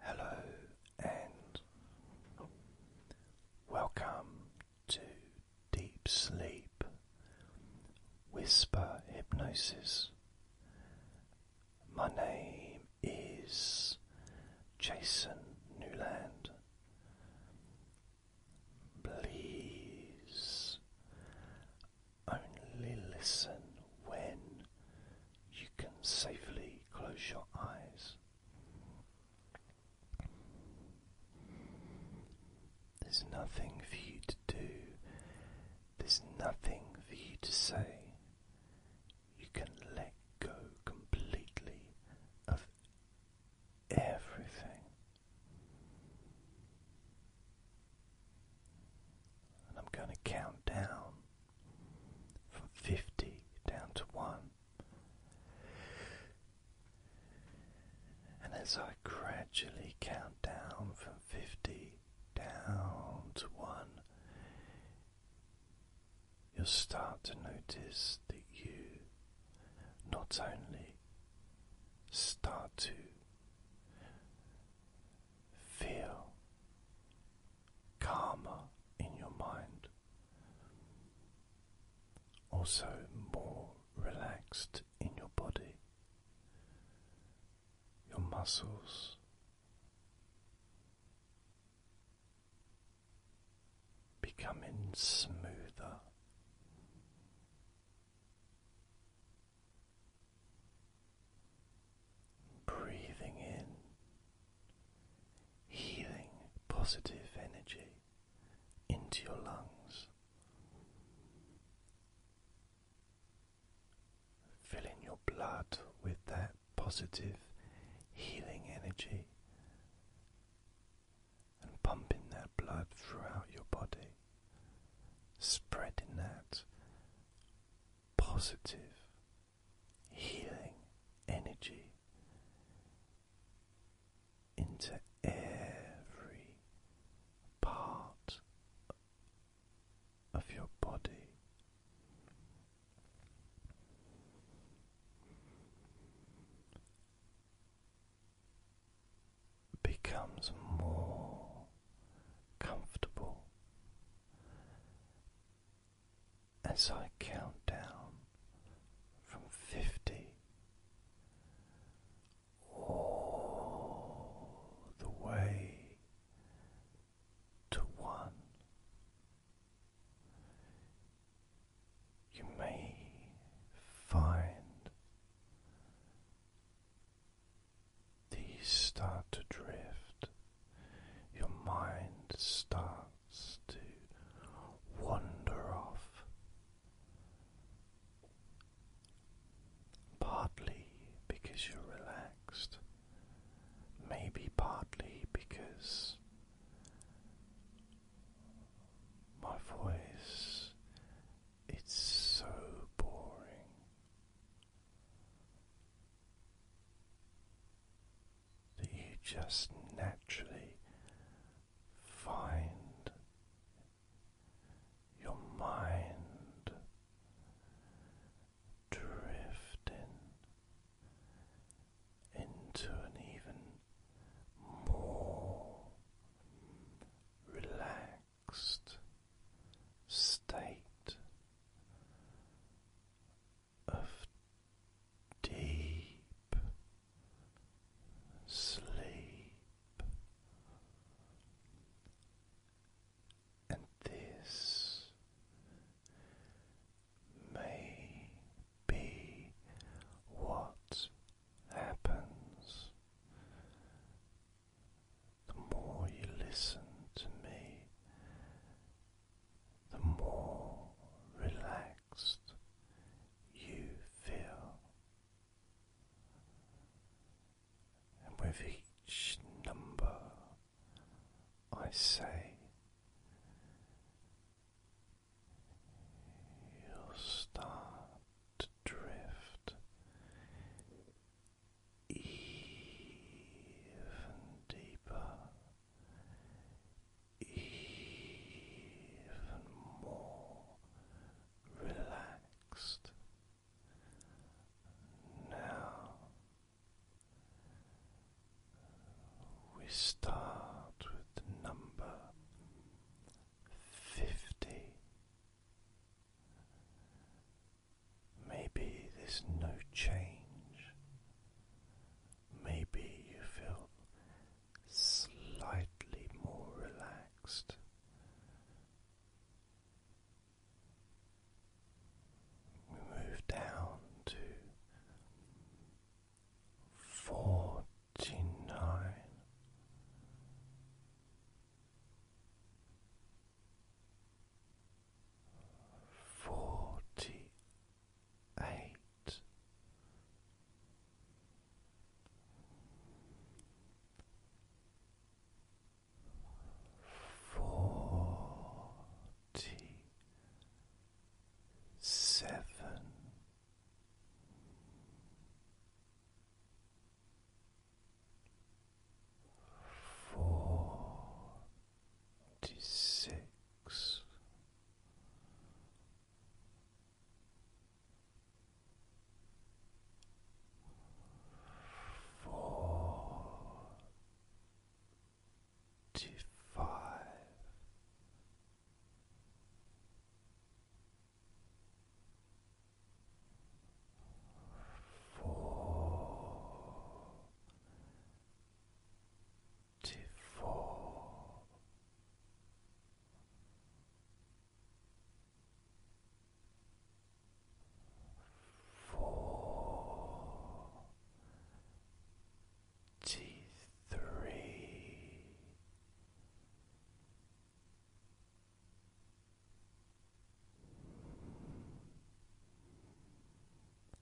Hello and welcome to Deep Sleep Whisper Hypnosis. My name is Jason Newland. Please only listen when you can safely close your eyes. There's nothing for you to do, there's nothing for you to say. You can let go completely of everything. And I'm going to count down from 50 down to 1. And as I gradually count down from 50 down to 1, you'll start to notice that you not only start to feel calmer in your mind, also more relaxed in your body, your muscles. Becoming smoother, breathing in healing positive energy into your lungs, filling your blood with that positive healing energy and pumping that blood throughout your body, spreading that positive healing energy into every part of your body. Becomes more comfortable as I count down from fifty all the way to one. You may find these start to drift your mind starts to wander off, partly because you're relaxed, maybe partly because my voice it's so boring that you just naturally find your mind drifting into an even more relaxed state of deep sleep, and this may be what happens. The more you listen to me the more relaxed you feel. And with each number I say, you'll start to drift even deeper even more relaxed. Now we start with the number fifty. Maybe there's no change Maybe you feel slightly more relaxed. move down to forty eight, forty seven. Forty six. Forty Four, four,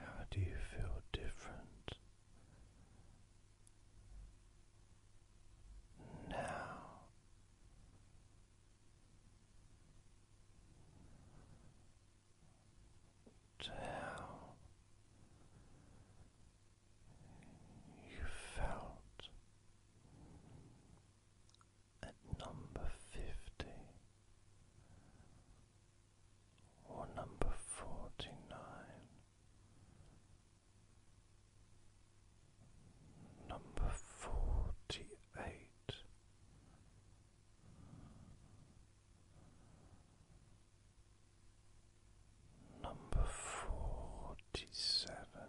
How do you feel different now? To how you felt at number fifty or number forty nine, number forty eight. Number forty seven,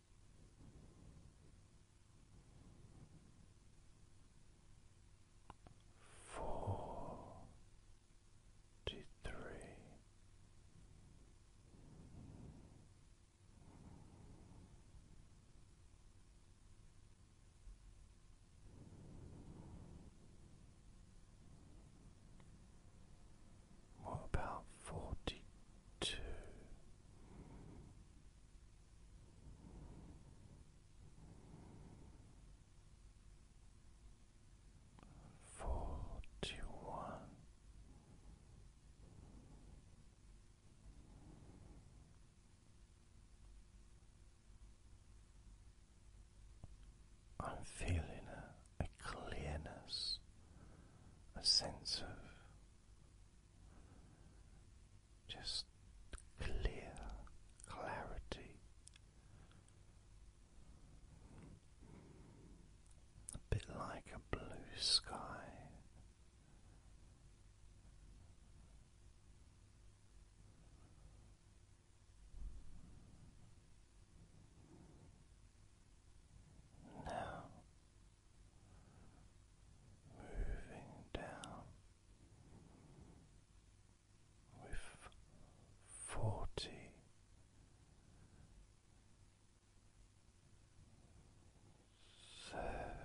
forty three. What about forty two? Forty one, I'm feeling a, a clearness, a sense of just clear clarity. A bit like a blue sky. Now moving down with forty. Thirty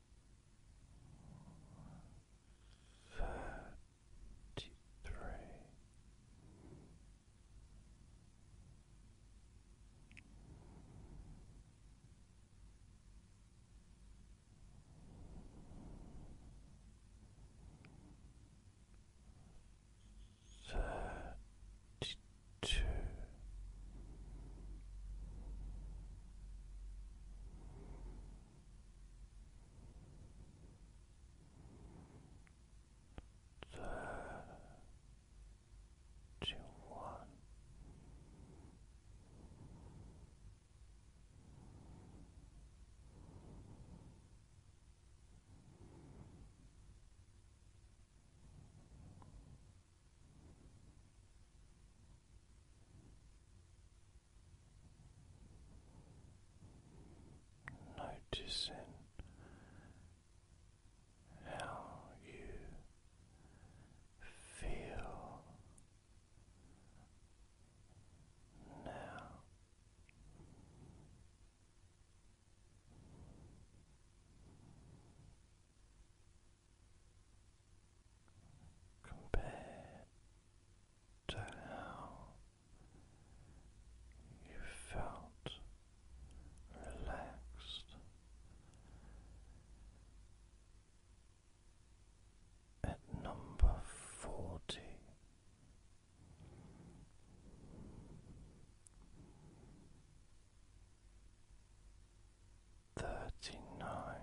thirty-three Thirty-two. Thirty-one thirty one thirty Noticing how you feel now compared to how you felt relaxed at number forty. Thirty nine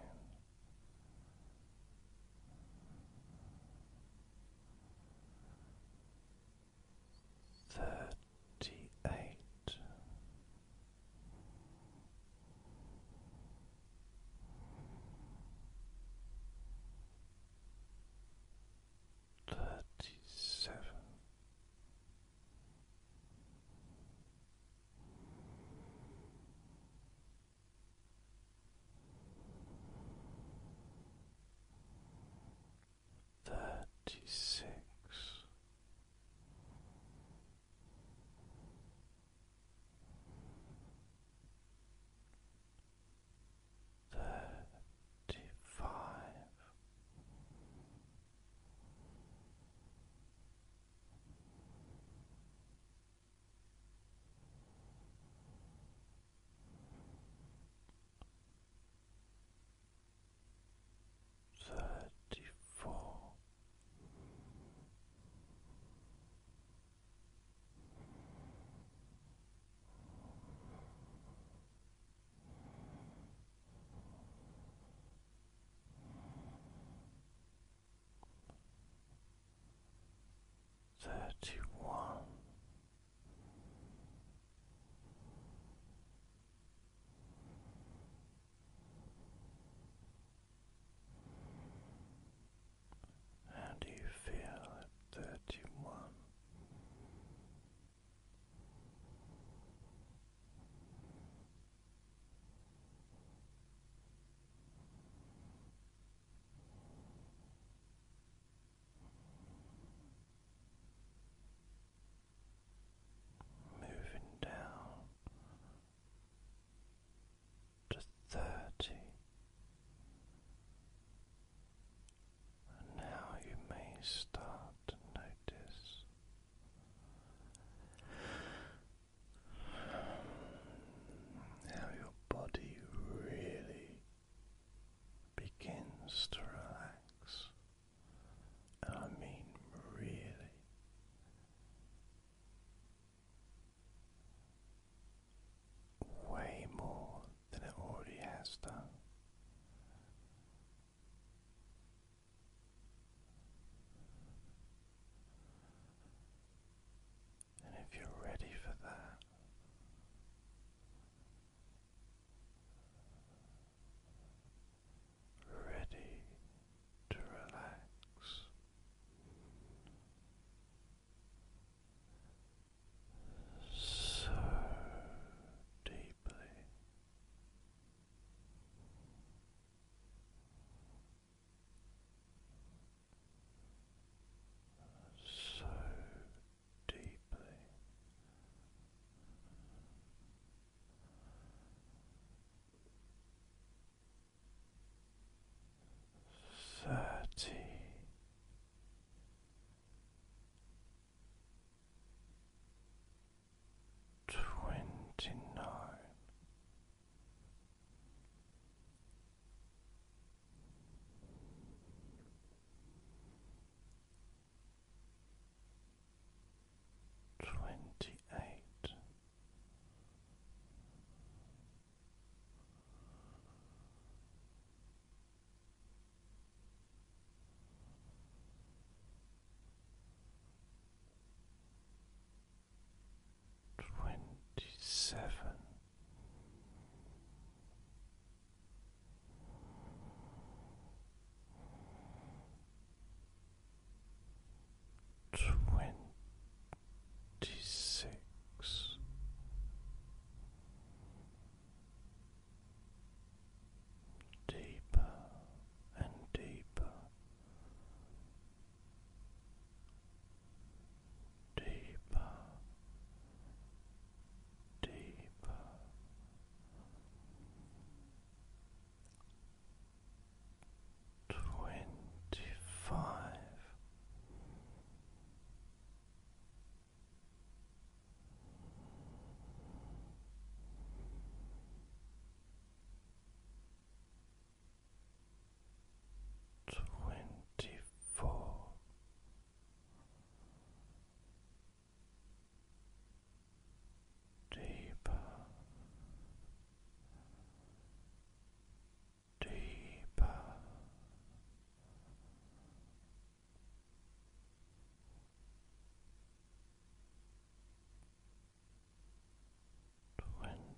thirty eight. Thirty seven, Thirty six, Thirty four, thirty one. How do you feel at thirty one? moving down to thirty. And now you may start to notice now your body really begins to relax, I mean really. Way more than it already has done. And if you're ready for that, ready to relax, so deeply so deeply. Thirty twenty nine Twenty eight, twenty seven. Twenty six, deeper and deeper deeper, deeper. Twenty five twenty four. Deeper, deeper, twenty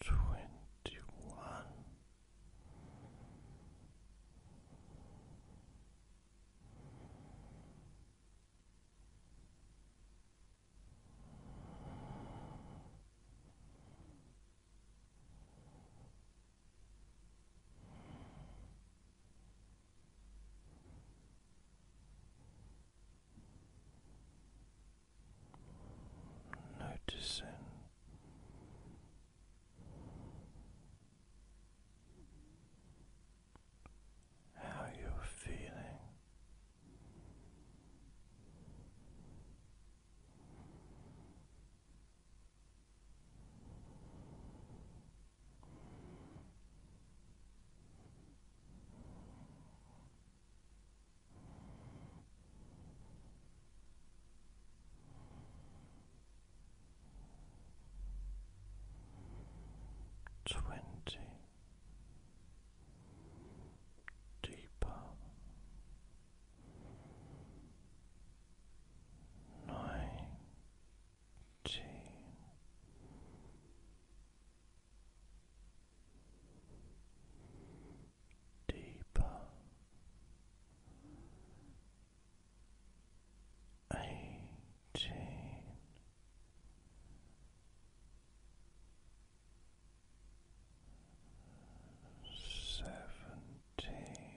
twenty one noticing how you're feeling. Twenty deeper nineteen deeper eighteen seventeen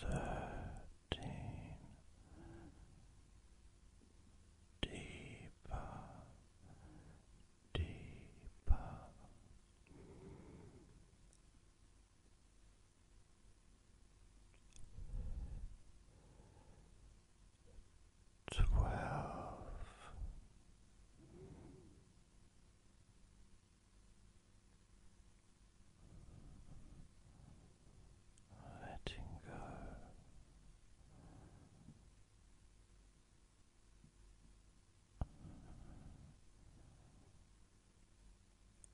thirteen deeper, deeper. Twelve letting go.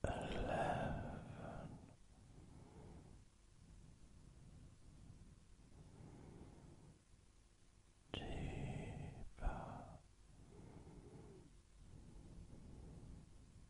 Eleven. Deeper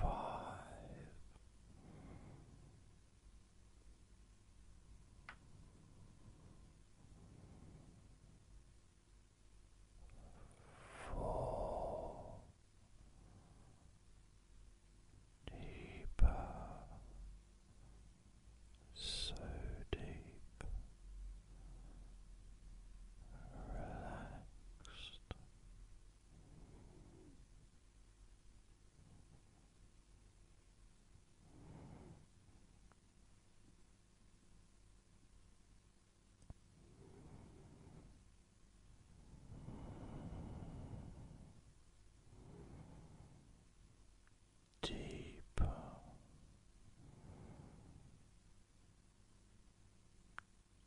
five. Four deeper so deep, relaxed. Deeper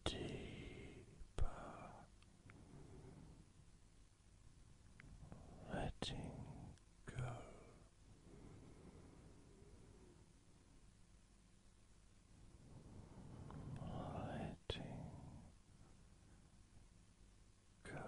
deeper, letting go. Letting go.